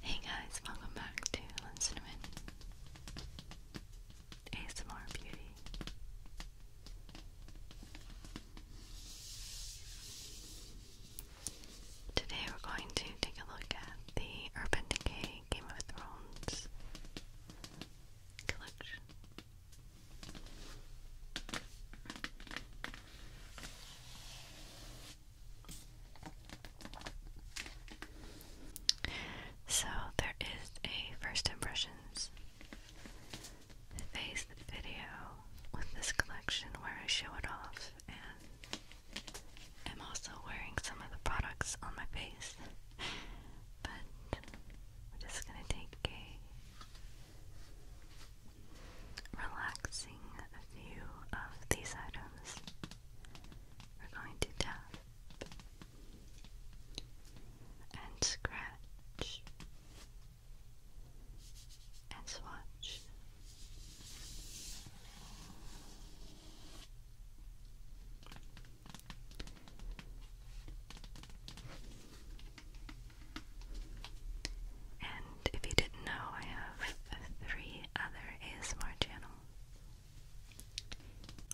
Hey guys, welcome back to Cinnamon ASMR Beauty. Today we're going to take a look at the Urban Decay Game of Thrones collection. So there is a first impressions phase video with this collection where I show it off and I'm also wearing some of the products on my face. but we're just gonna take a relaxing view of these items. We're going to tap and scratch and swatch if you didn't know, I have three other ASMR channels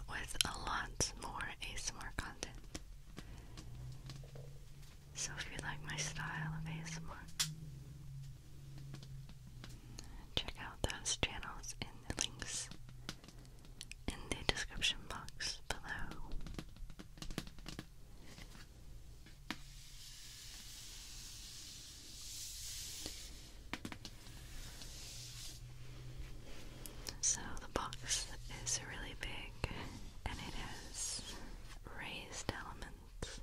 with a lot more ASMR content. So if you like my style of ASMR, check out those channels in the links in the description box below. So the box is really big and it has raised elements.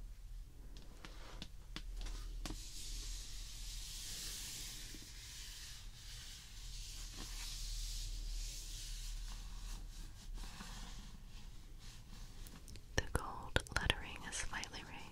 The gold lettering is slightly raised.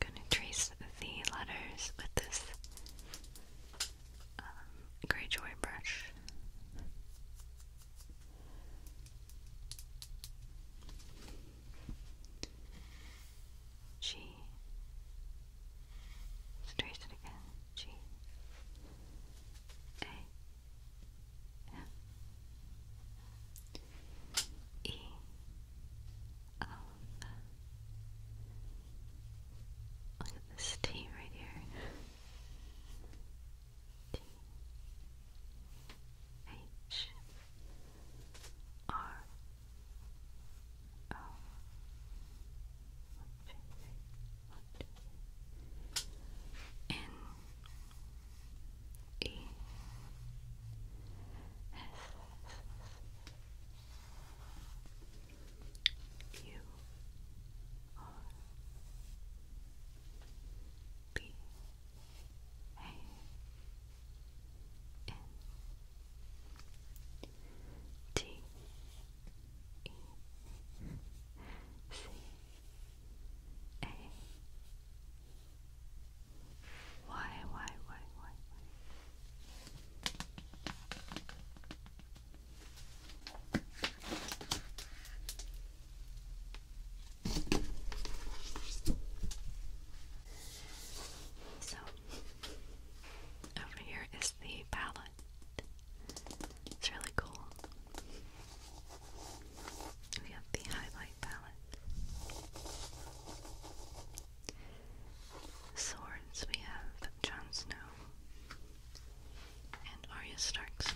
I'm going to trace the letters with this um, gray joy brush. G. trace it again. G. A. M. E. Look at this T right here. T H R O N E S Q R B A N T E C A Y Y Y Y Y so, over here is the palette. It's really cool. We have the highlight palette. Swords, we have Jon Snow and Arya Stark sword.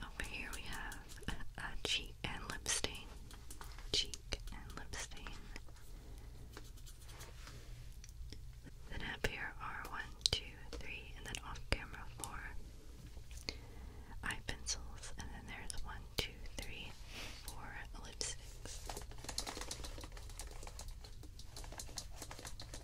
Over here we have a cheek and lip stain. Cheek and lip stain. Then up here are one, two, three, and then off camera four eye pencils, and then there's one, two, three, four lipsticks.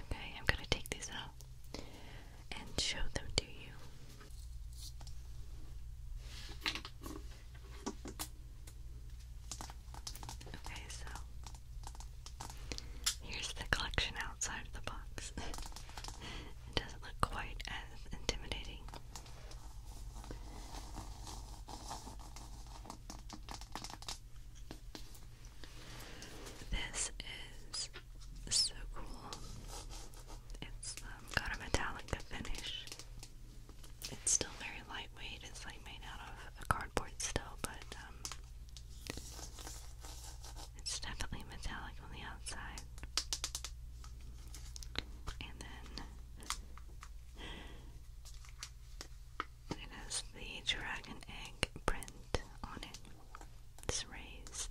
Okay, I'm going to take these out and show them to you. Okay, so here's the collection outside of the box. it doesn't look quite as intimidating this is so cool. It's um, got a metallic finish. It's still very lightweight. It's like made out of cardboard still, but um, it's definitely metallic on the outside. And then it has the dragon egg print on it. It's raised.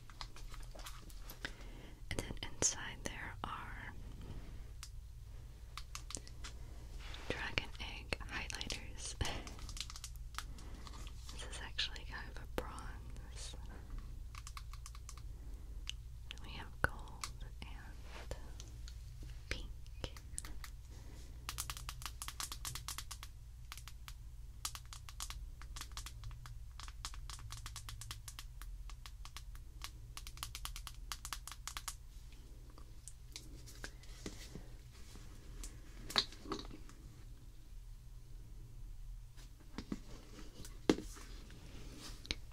And then inside there are dragon egg highlighters. this is actually kind of a bronze. We have gold and pink.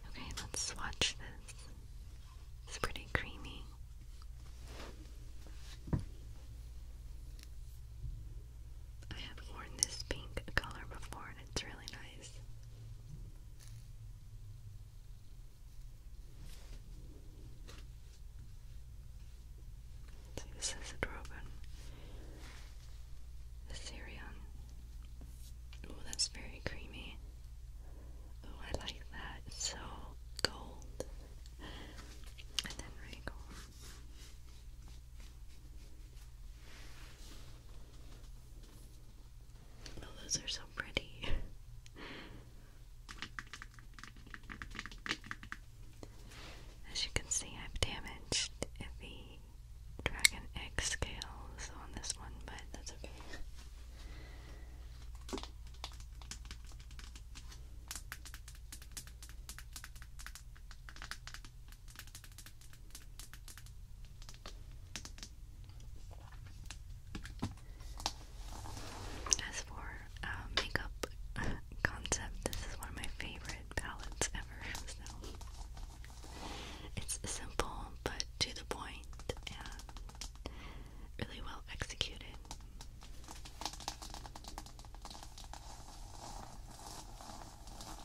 Okay, let's swatch this. It's pretty creamy. I have worn this pink color before it's really nice. this is a Drogon. Assyrian. Oh, that's very creamy. Oh, I like that. so gold. And then Rhaegal. Oh, those are so pretty. As you can see, I've damaged the Dragon Egg scales on this one, but that's okay. As for uh, makeup concept, this is one of my favorite palettes ever. it's simple but to the point and really well executed.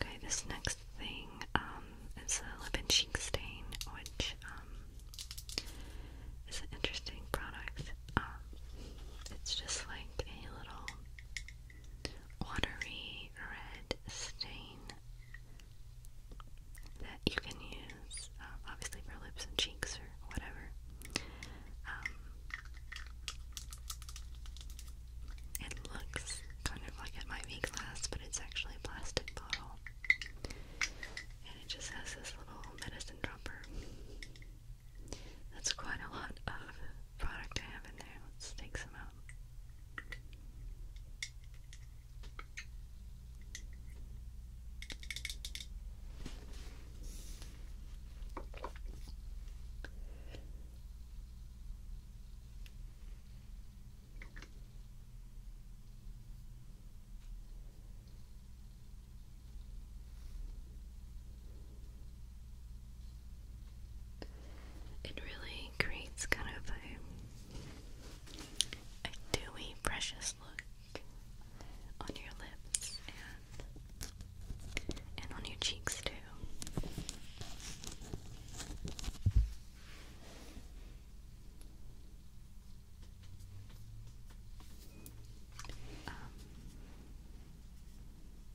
Okay, this next thing um, is a lip and cheek stain, which um, is an interesting product. Um, it's just like a little watery red stain that you can use um, obviously for lips and cheeks or whatever. Um, it looks kind of like it might be glass, but it's actually a plastic bottle. And it just has this little medicine dropper. That's quite a lot of product I have in there. Let's take some out. It really creates kind of a, dewy, precious look on your lips and and on your cheeks too. Um,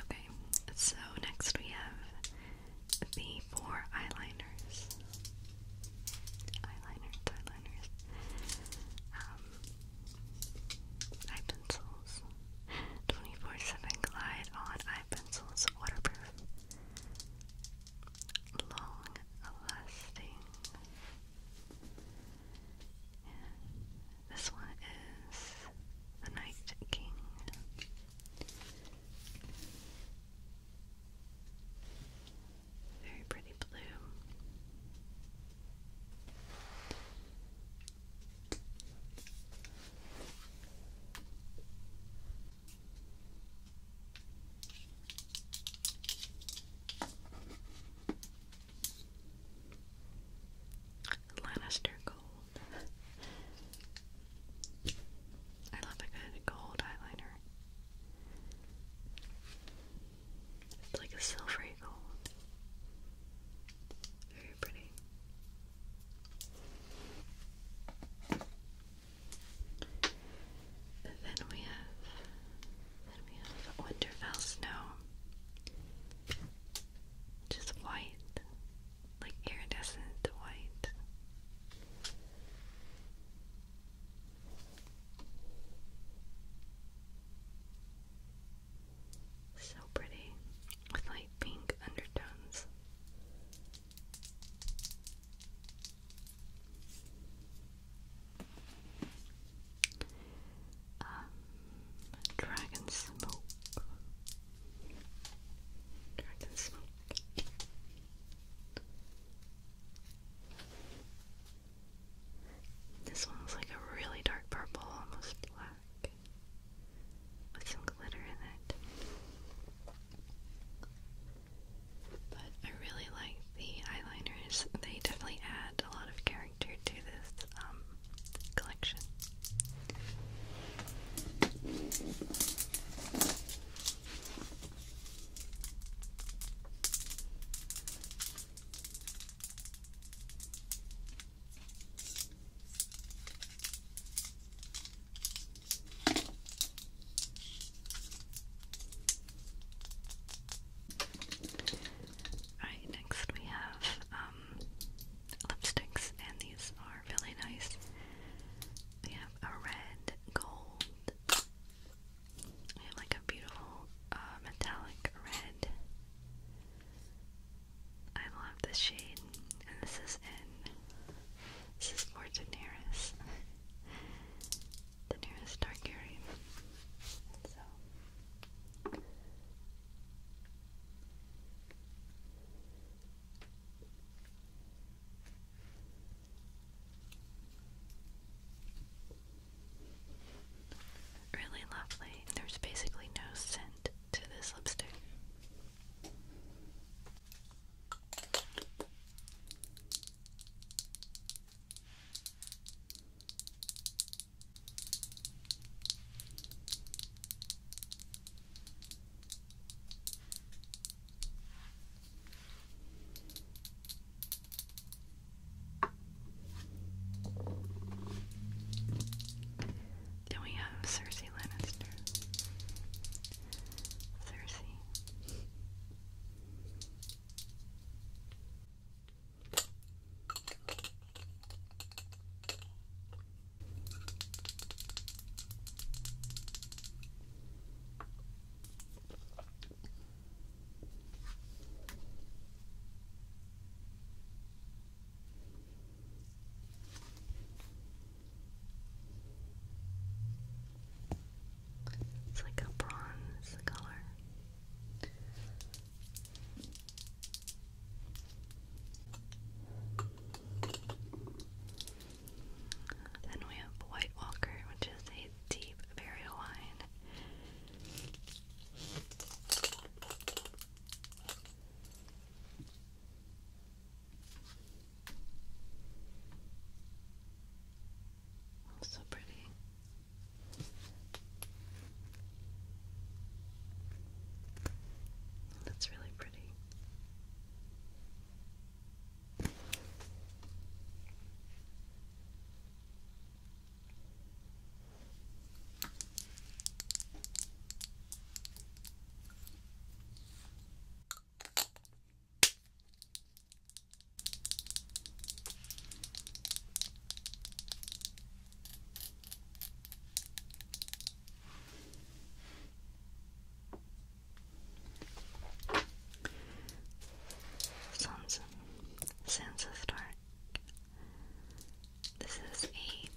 Okay, so next we have the four eyeliners. Eyeliners, eyeliners. Um, eye pencils. 24-7 Glide on eye pencils, waterproof long lasting. This one is The Night King. Very pretty blue. Lannister gold. I love a good gold eyeliner. It's like a silvery gold. Very pretty. Then we have then we have Winterfell snow, just white, like iridescent white. So pretty with light pink undertones. Um, dragon smoke. Dragon smoke. This one's like a really dark purple, almost black, with some glitter in it. But I really like the eyeliners. They definitely add a lot of character to this um, collection. Alright, next we have um, lipsticks, and these are really nice. We have a red, gold, we have like a beautiful uh, metallic red. I love this shade and this is in this is for Daenerys, Daenerys Targaryen. So really lovely. There's basically no scent to this lipstick. Then we have Cersei Lannister. Cersei. It's like a bronze color. Then we have White Walker, which is a deep barrel wine so pretty. That's really pretty. Sons, Sons of This is a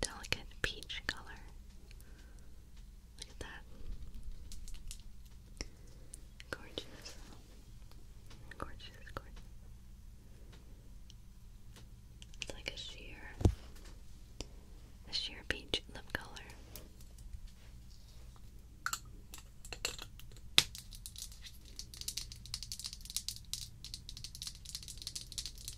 delicate peach color. Look at that. Gorgeous. Gorgeous, gorgeous. It's like a sheer, a sheer peach lip color.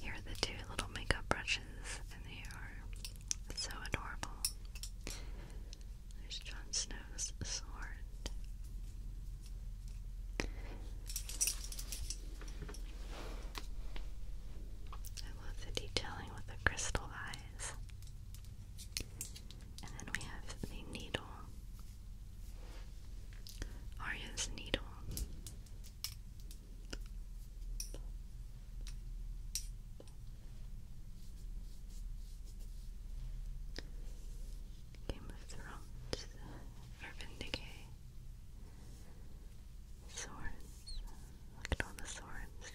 Here are the two little makeup brushes, and they are so adorable. There's Jon Snow's sword. I love the detailing with the crystal eyes. And then we have the needle. Arya's needle. Game of Thrones, Urban Decay, Swords. Look at all the swords.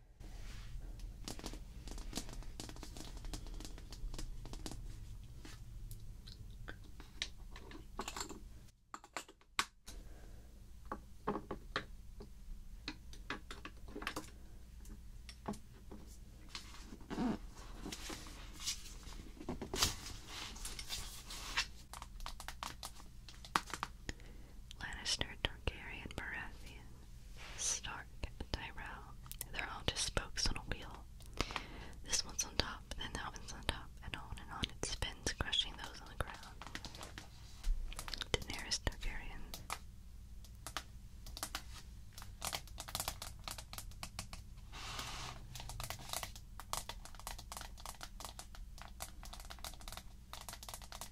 Lannister, Targaryen, Baratheon. Stark, Tyrell. They're all just spokes on a wheel. This one's on top, then that one's on top, and on and on it spins, crushing those on the ground. Daenerys Targaryen.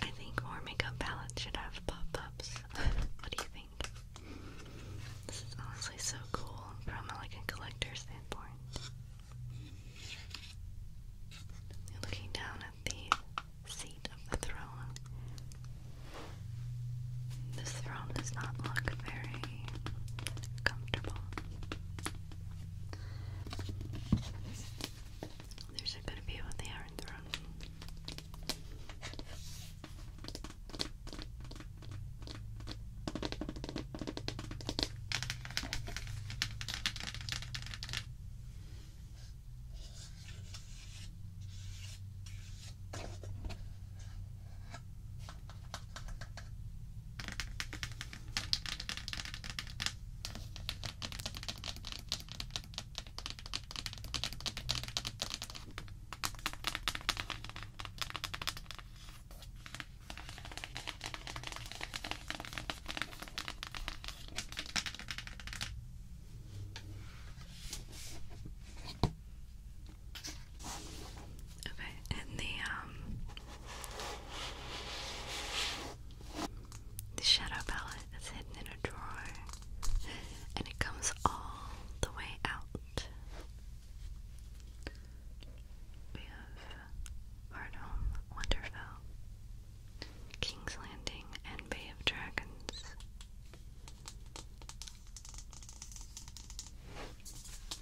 I think more makeup palettes should have pop-ups. what do you think? This is honestly so cool from like a collector standpoint. Looking down at the seat of the throne. This throne does not look very comfortable. There's a good view of the Iron Throne. Okay, and the um the shadow palette is hidden in a drawer and it comes all the way out. We have Hardhome, Winterfell, King's Landing, and Bay of Dragons.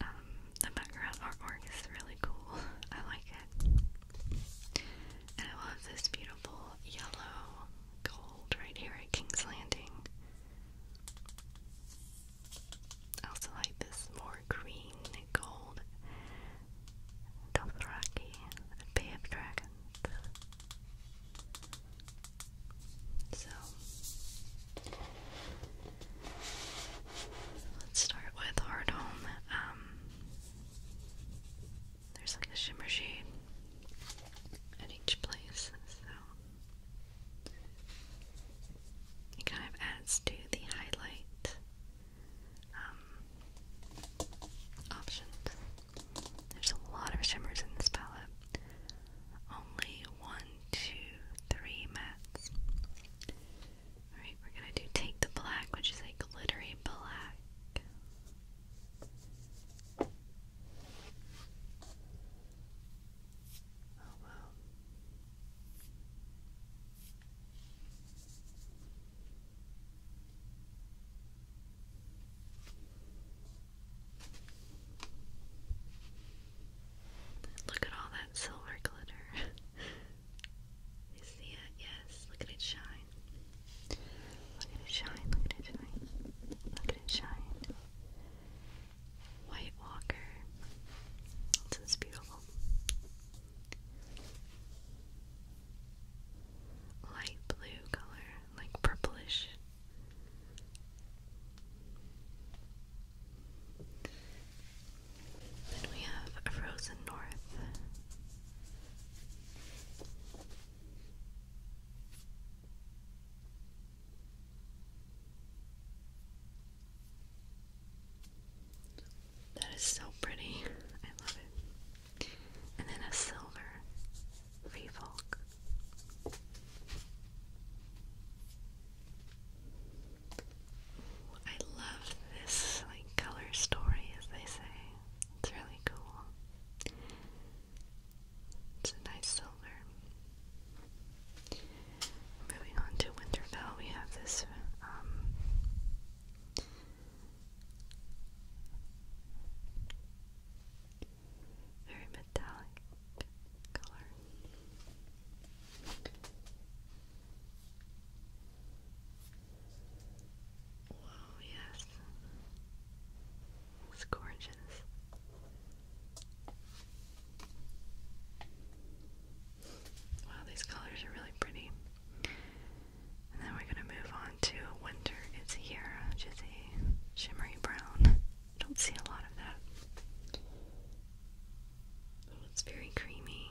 Um, the background artwork is really cool. I like it. And I love this beautiful yellow gold right here at King's Landing. I also like this more green gold Dothraki, Bay of So, Let's start with Hard um, there's like a shimmer shade at each place, so it kind of adds to the highlight um, options. There's a lot of shimmers in this palette. Only one, two, three mattes. Alright, we're gonna do take the black, which is a glittery black. Oh wow. Look at all that silver glitter. You see it? Yes. Look at it shine. Look at it shine. Look at it shine. Look at it shine. White Walker. It's just beautiful. Light blue color, like purplish. Then we have Frozen North. That is so pretty. I love it. And then a silver free I love this like color story as they say. It's really cool. It's a nice silver. Moving on to Winterfell, we have this um, very metallic color. Wow, yes. It's gorgeous. Wow, these colors are really pretty. And then we're going to move on to Winter is Here, which shimmery brown. Don't see a lot of that. Oh, it's very creamy.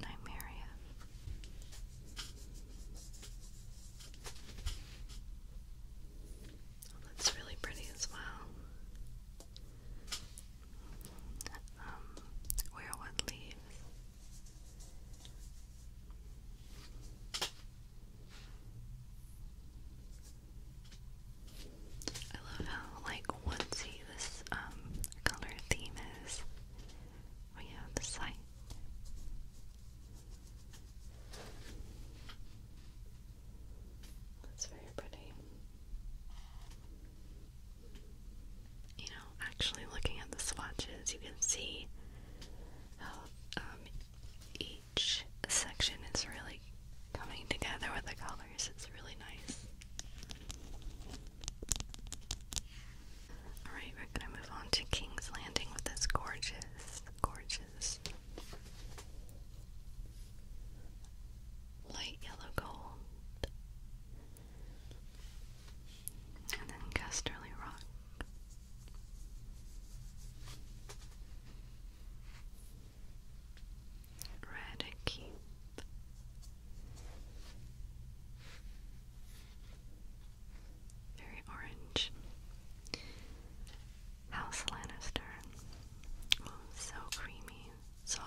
Nymeria. Oh, that's really pretty as well. Um, where one leaves. I love how like onesie this um, color theme is. We have the site. That's very pretty. You know, actually looking at the swatches, you can see um, each section is really coming together with the colors. It's really nice. Alright, we're gonna move on to King's Landing with this gorgeous, gorgeous light yellow gold. And then Casterly Rock. Eradicate. Very orange. House Lannister. Oh, so creamy, soft.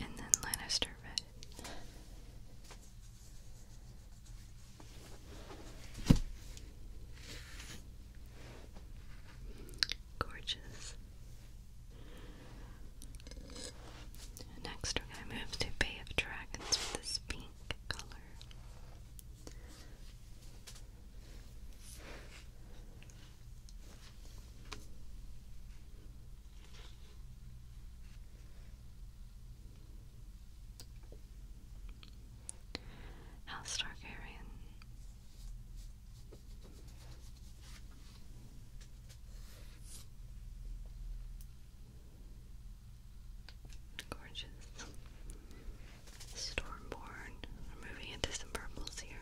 And then Lannister Red. Gorgeous. Next, we're going to move to Bay of Dragons with this pink color. I'll House Targaryen. Gorgeous. Stormborn. We're moving into some purples here.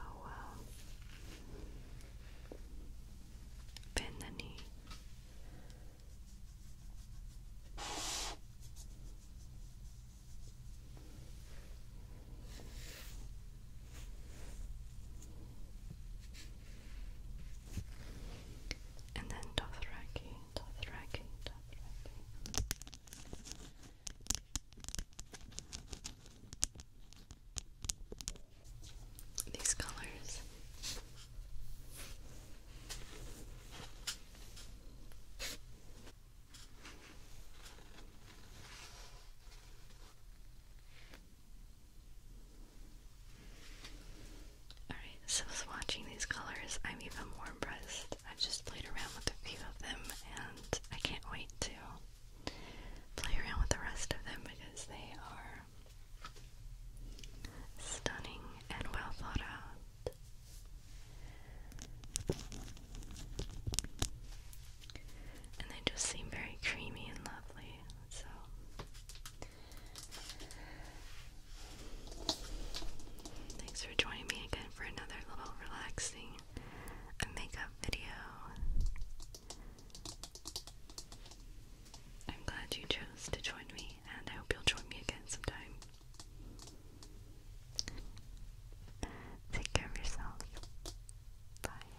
Oh wow. Bend the knee and then Dothraki, Dothraki, Dothraki. These colors. Alright, so swatching these colors, I'm even more impressed. I've just played around with a few of them and I can't wait to play around with the rest of them because they are stunning and well thought out. And they just seem very creamy and lovely, so Thanks for joining me again for another little relaxing makeup video. I'm glad you chose to join me, and I hope you'll join me again sometime. Take care of yourself. Bye.